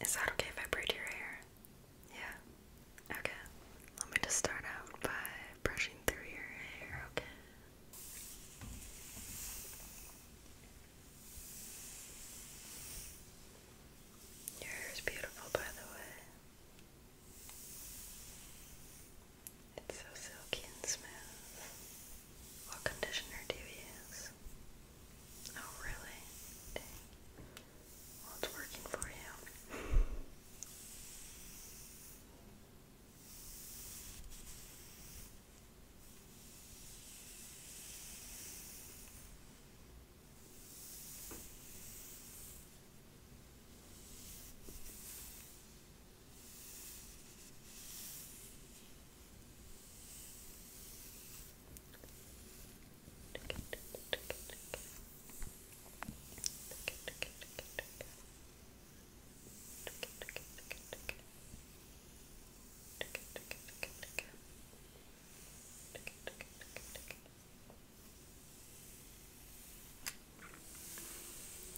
Is that okay if I braid your hair? Yeah. Okay. Let me just start out by brushing through your hair, okay? Your hair is beautiful, by the way. It's so silky and smooth. What conditioner do you use? Oh, really? Well, it's working for you.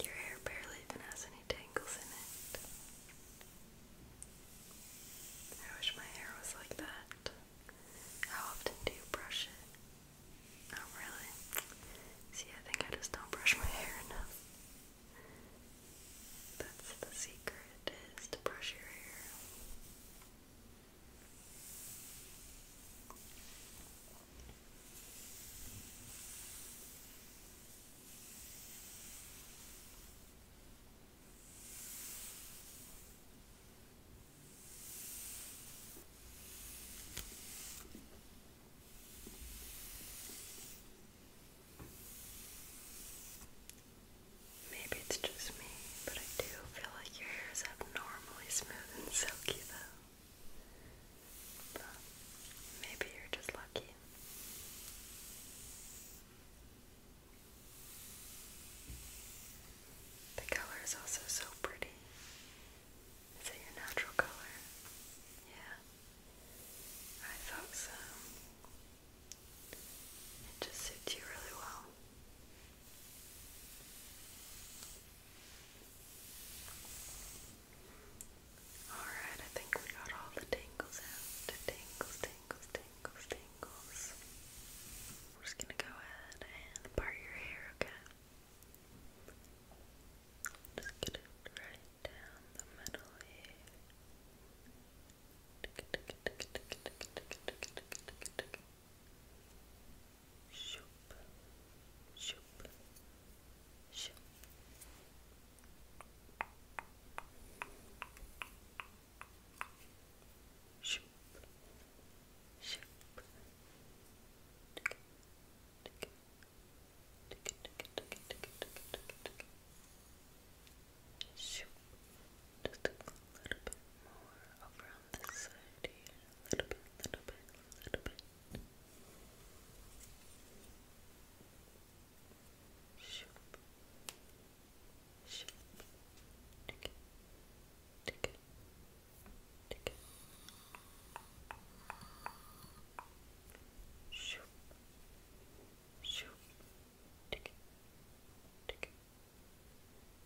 Your hair barely even has any tangles in it. I wish my hair was like that. How often do you brush it? Oh, really? See, I think I just don't brush my hair enough. That's the secret, is to brush your hair. Maybe it's just me, but I do feel like your hair is abnormally smooth and silky though. maybe you're just lucky. The color is also so pretty. Is it your natural color? Yeah. I thought so. It just suits you really well. Alright, I think we got all the tangles out. Tangles, tangles, tangles, tangles. We're just gonna go ahead and part your hair, okay? Just get it right down the middle here. Shoop, shoop, shoop. Shoop. Shoop. Tick. Tick. Tick. Tick. Tick. Tick. Tick. Tick. Shoop. Just a little bit more over on this side here. A little bit, little bit, little bit. Shoop. Shoop. Tick. Tick. Tick. Shoop. Shoop. Tick.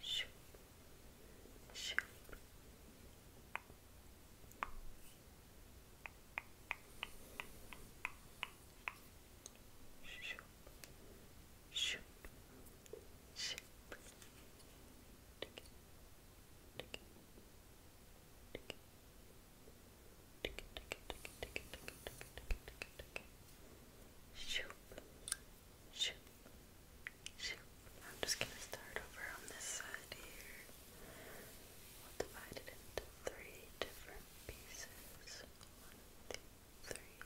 Shoop. Shoop. Shoop. Shoop. Shoop. Tick. Tick. Tick. Tick. Tick. Tick. Tick. Tick. Tick. Shoop. Shoop. Shoot. I'm just going to start over on this side here. We'll divide it into three different pieces. One, two, three.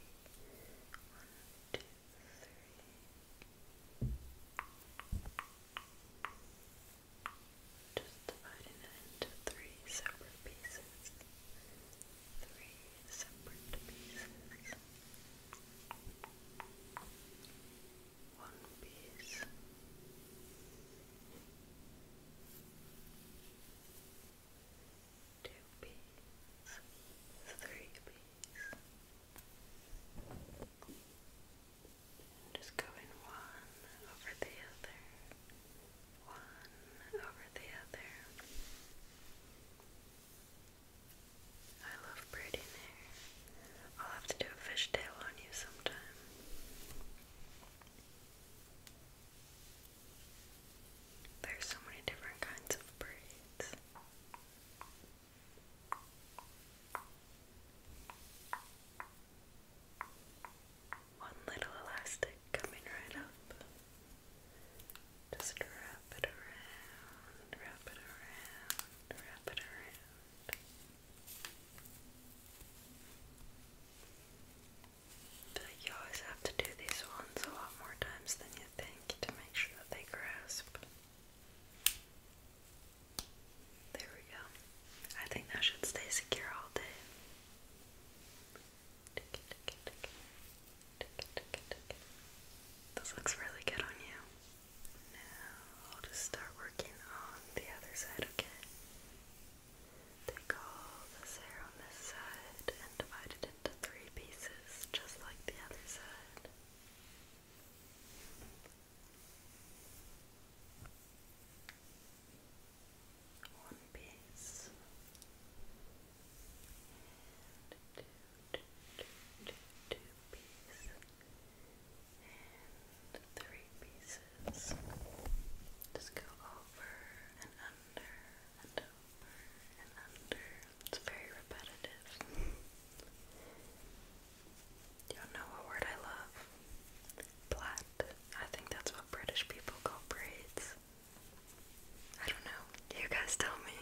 One, two, three. Just dividing it into three separate pieces. Three separate pieces. One piece. Two pieces, three pieces. just go one over the other, one over the other. I love braiding hair. I'll have to do a fishtail on you sometime. There's so many different kinds of braids. One little elastic coming right up. Just wrap it around, wrap it around, wrap it around. But you always have to do these ones a lot more times than you think to make sure that they grasp. There we go. I think that should stay secure all day. This looks really good on you. Now I'll just start working on the other side, okay? Take all this hair on this side and divide it into three pieces, just like the other side one piece and two, two, two, two, two piece and three pieces. Just go over and under and over and under. It's very repetitive. Y'all know a word I love? Plaid. I think that's what British people call braids. I don't know. You guys tell me.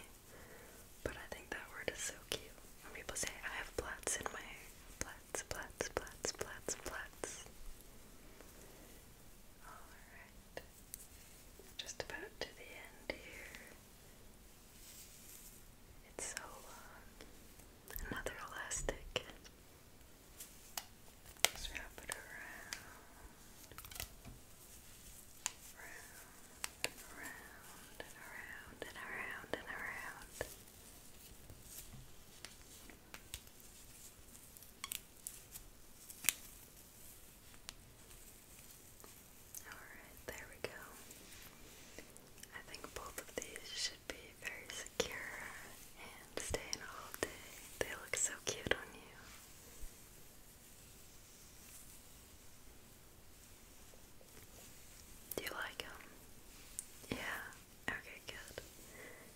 But I think that word is so cute. When people say, I have plaits in my Plaits, plaits, plaits, plaits, plaits. Alright. Just about to the end here. It's so long. Another elastic wrap it around, round and around and around and around and around. Alright, there we go. I think both of these should be very secure and stay all day. They look so cute on you. Do you like them? Yeah. Okay, good.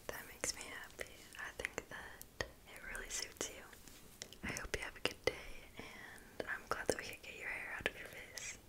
That makes me happy. I think that it really suits you. I hope you have a good day, and I'm glad that we can get your hair out of your face.